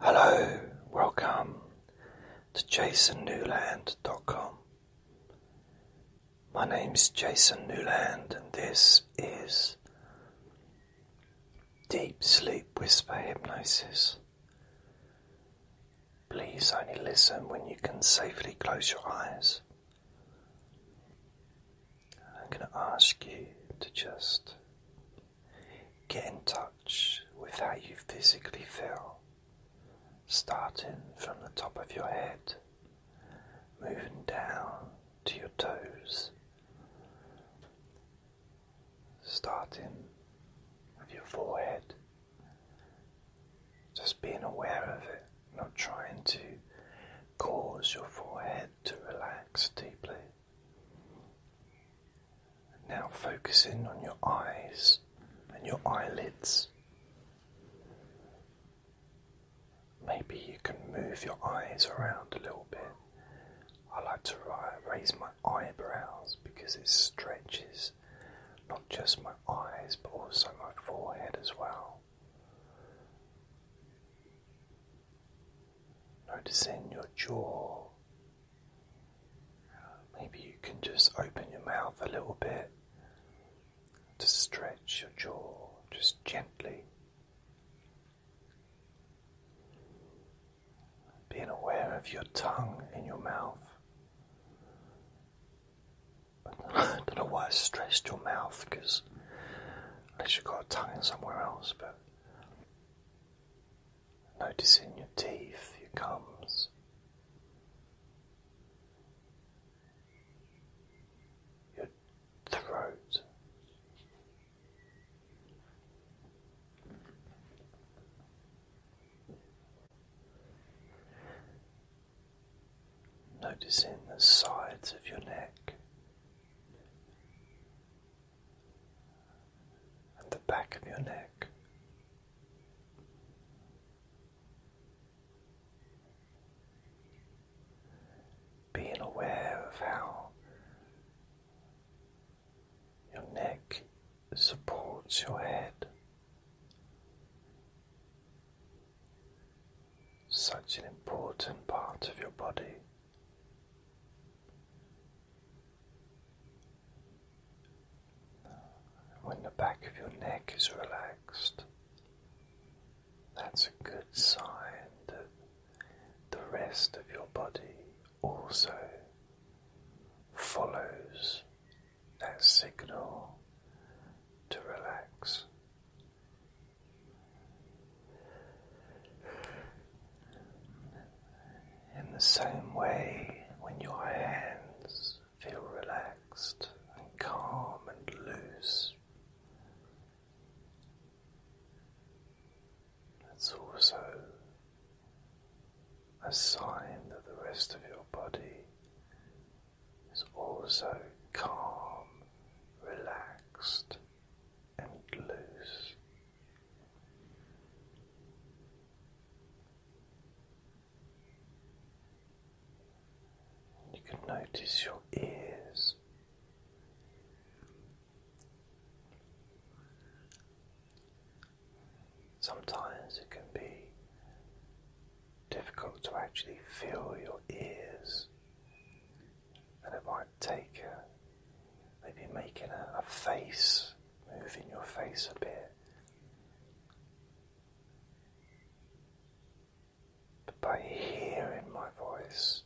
Hello, welcome to jasonnewland.com. My name is Jason Newland, and this is Deep Sleep Whisper Hypnosis. Please only listen when you can safely close your eyes. I'm going to ask you to just Get in touch with how you physically feel, starting from the top of your head, moving down to your toes, starting with your forehead. Just being aware of it, not trying to cause your forehead to relax deeply. Now focusing on your eyes and your eyelids. Maybe you can move your eyes around a little bit. I like to raise my eyebrows because it stretches not just my eyes but also my forehead as well noticing your jaw. Maybe you can just open your mouth a little bit to stretch your jaw just gently. Being aware of your tongue in your mouth. I don't know why I stressed your mouth because unless you've got a tongue somewhere else, but noticing your teeth, your gums, your throat. Noticing the sides of your neck, and the back of your neck. Being aware of how your neck supports your head, such an important part of your body. When the back of your neck is relaxed, that's a good sign that the rest of your body also follows that signal to relax. In the same way, when your hands feel relaxed and calm and loose, it's also a sign that the rest of your body is also calm, relaxed, and loose. You can notice your ears. Sometimes it can be difficult to actually feel your ears and it might take uh, maybe making a face, moving your face a bit. But by hearing my voice,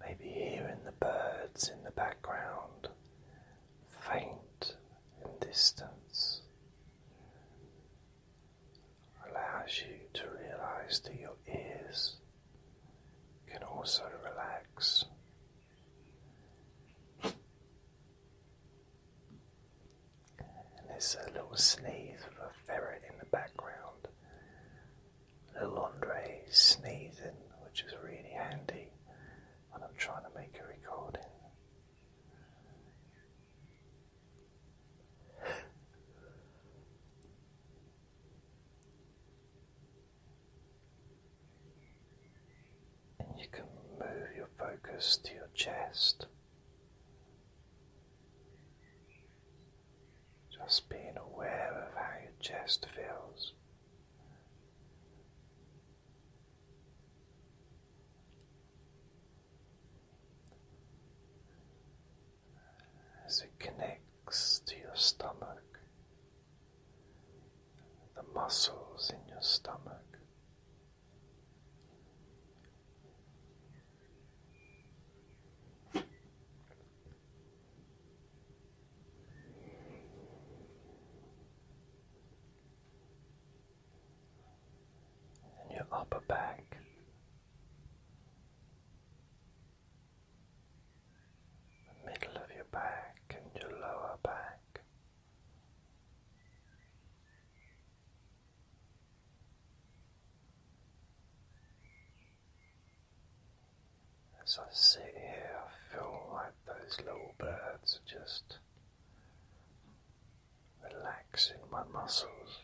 maybe hearing the birds in the background, faint in distance, allows you to realize that your ears can also relax. there's a little sneeze of a ferret in the background. Little Andre sneezing, which is really handy when I'm trying to make a recording. And you can move your focus to your chest, just being aware of how your chest feels as it connects to your stomach, the muscles in your stomach. And your upper back, the middle of your back and your lower back. As I sit here, I feel like those little birds are just relaxing my muscles.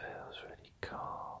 Feels really calm.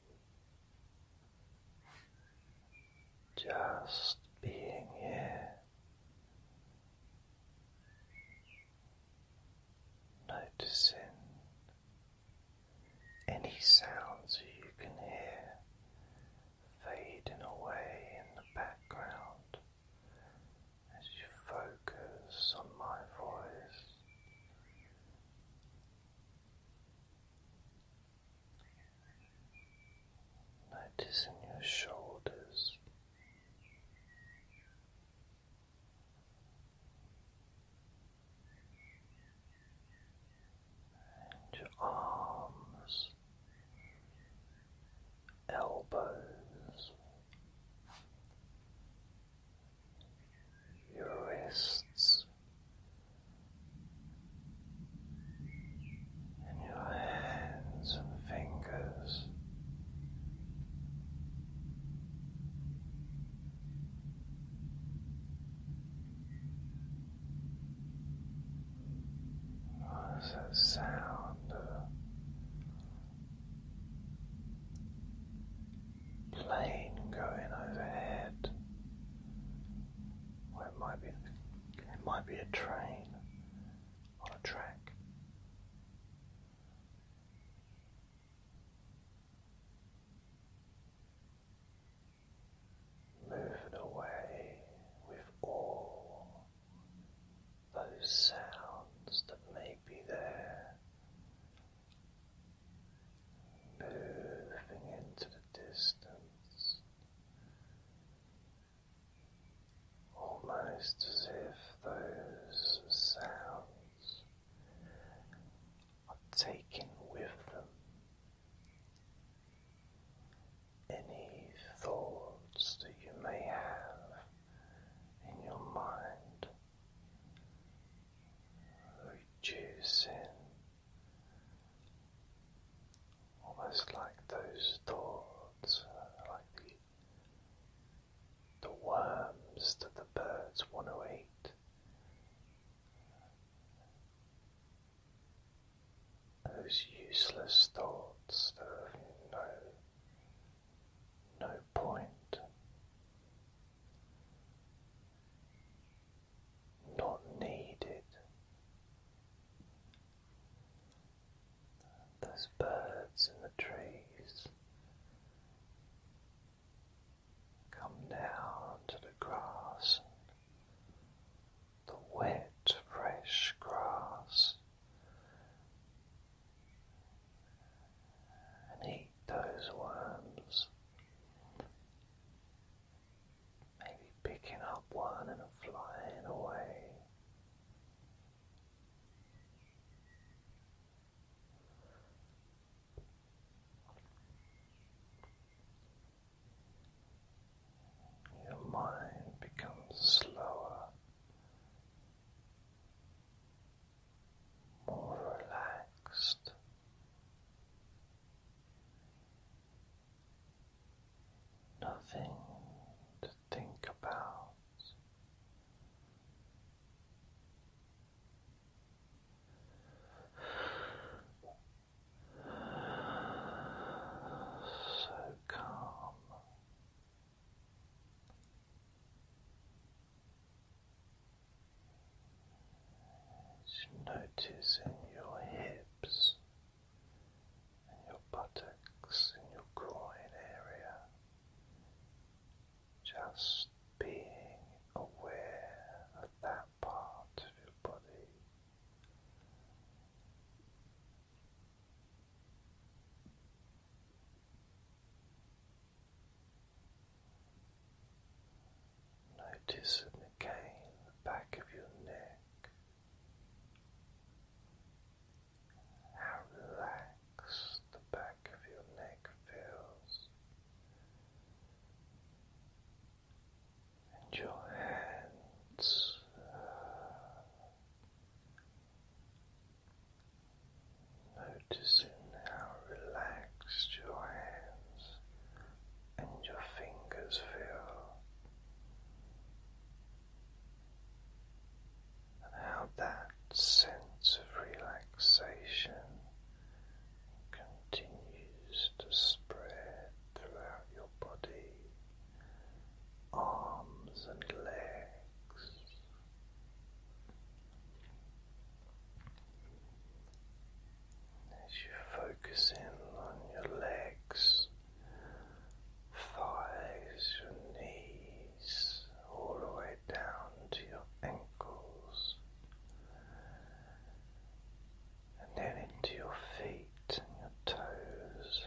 Just being here, noticing any sounds you can hear fading away in the background as you focus on my voice. Notice in your shoulders. And arms, elbows, your wrists and your hands and fingers. What is that sound? plane going overhead. it might be it might be a train on a track. Moving away with all those sounds that may be there moving into the distance, almost as if those sounds are taken with them. Any thoughts that you may have in your mind reducing almost like those thoughts, uh, like the the worms that the birds want to eat, those useless thoughts that have no no point, not needed. There's birds in the trees. Come down to the grass, the wet, fresh grass and eat those worms. Maybe picking up one and flying away. Your mind becomes slower more relaxed. Nothing to think about. So calm, just noticing your hips and your buttocks and your groin area. Just being aware of that part of your body. Notice again the back of your neck, how relaxed the back of your neck feels, and your hands. Noticing how relaxed your hands and your fingers feel, and how that sense of relaxation continues to spread throughout your body, arms, and legs. As you focus in on your legs, thighs, your knees, all the way down to your ankles, and then into your feet and your toes,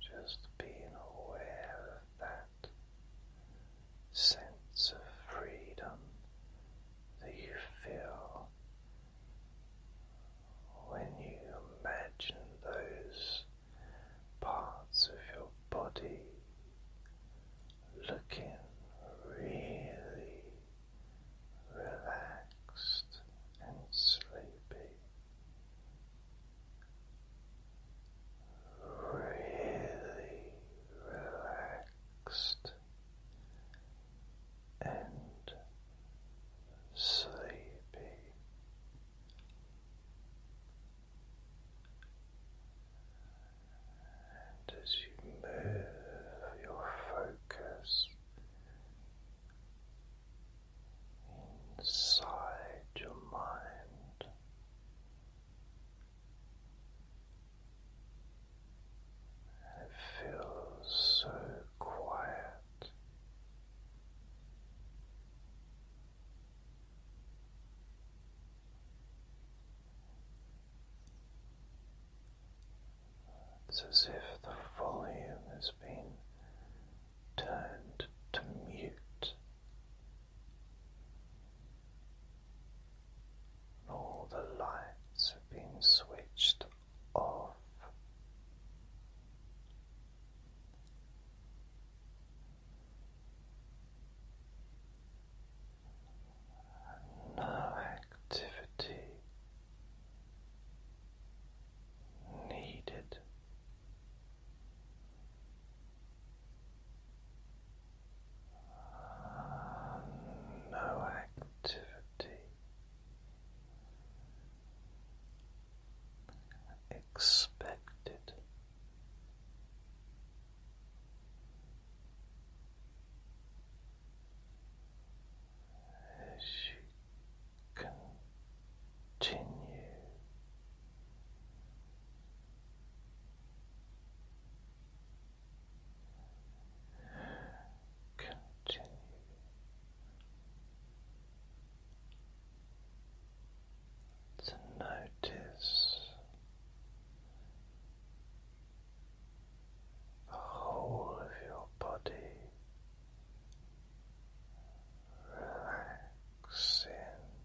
just being aware of that sense of freedom that you feel when you imagine those parts of your body looking really relaxed and sleepy really relaxed and sleepy. And as you move your focus inside your mind, it feels so quiet. It's as if the volume has been turned to mute all the lights have been switched off. no activity needed no activity expected. As continue Continue. To notice the whole of your body relaxing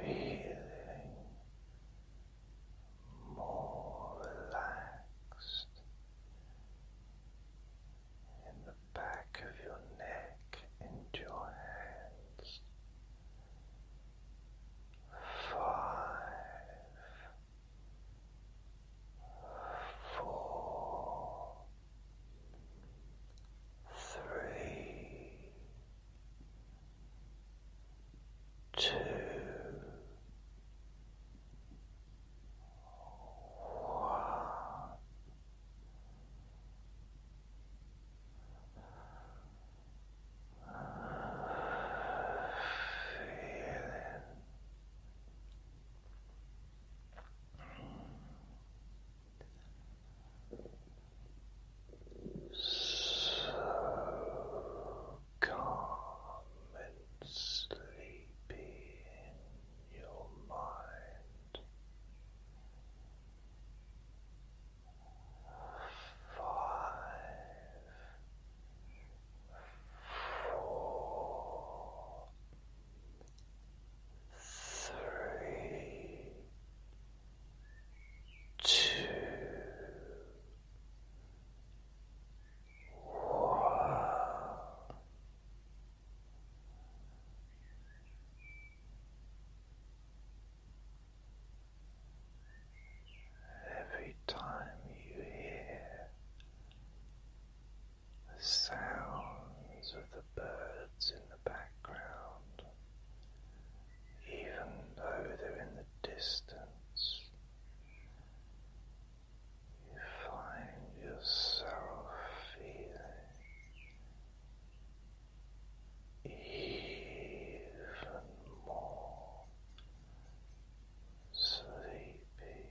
feeling more relaxed in the back of your neck and your hands. Five, four, three, two, one. Feeling so calm and sleepy in your mind. Five, four, three, two, one. Every time you hear the sounds of the birds in the background, even though they're in the distance. You find yourself feeling even more sleepy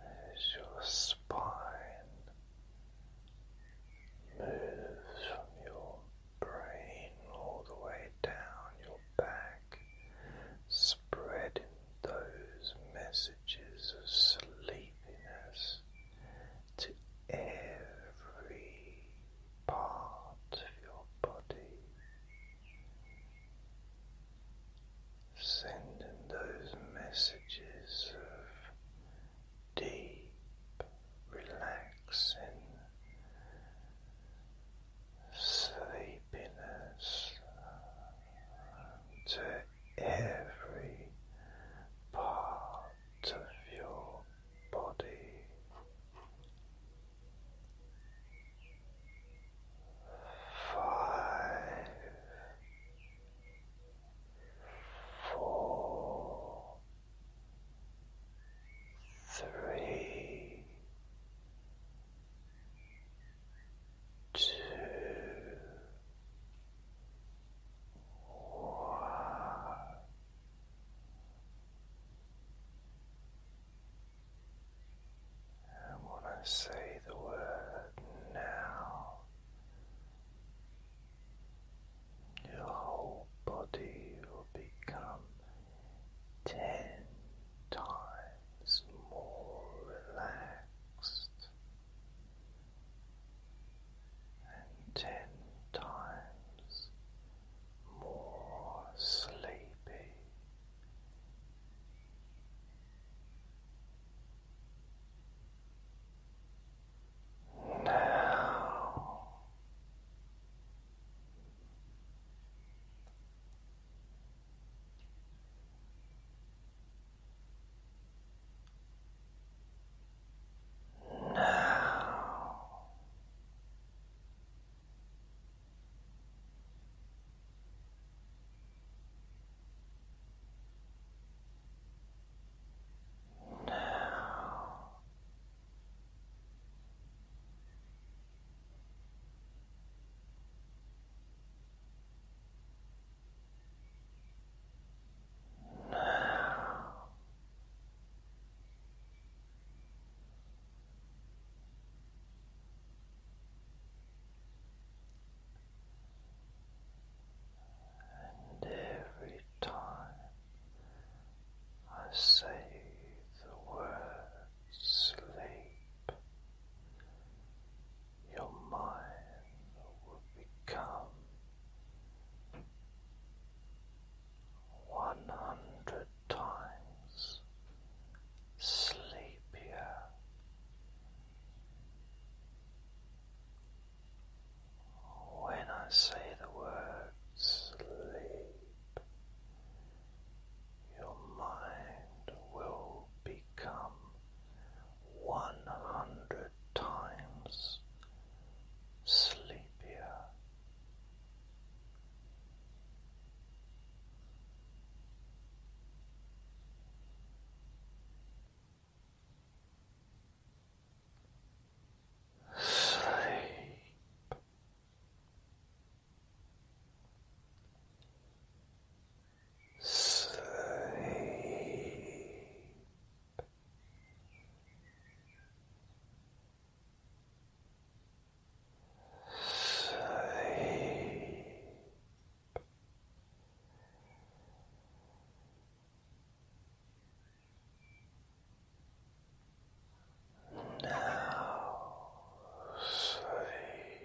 As your spine moves from your brain all the way down your back, spreading those messages of sleepiness to every part of your body, sending those messages of deep, relaxing, sleepiness to every part of your body five four three two and when I say the word now, your whole body will become ten times more relaxed and ten times more sleepy. Now now now now and every time I say the word sleep, your mind will become one hundred times sleepier. When I say the word sleep, your mind will become 100 at times sleepier. Sleep. Sleep. Sleep. Now sleep.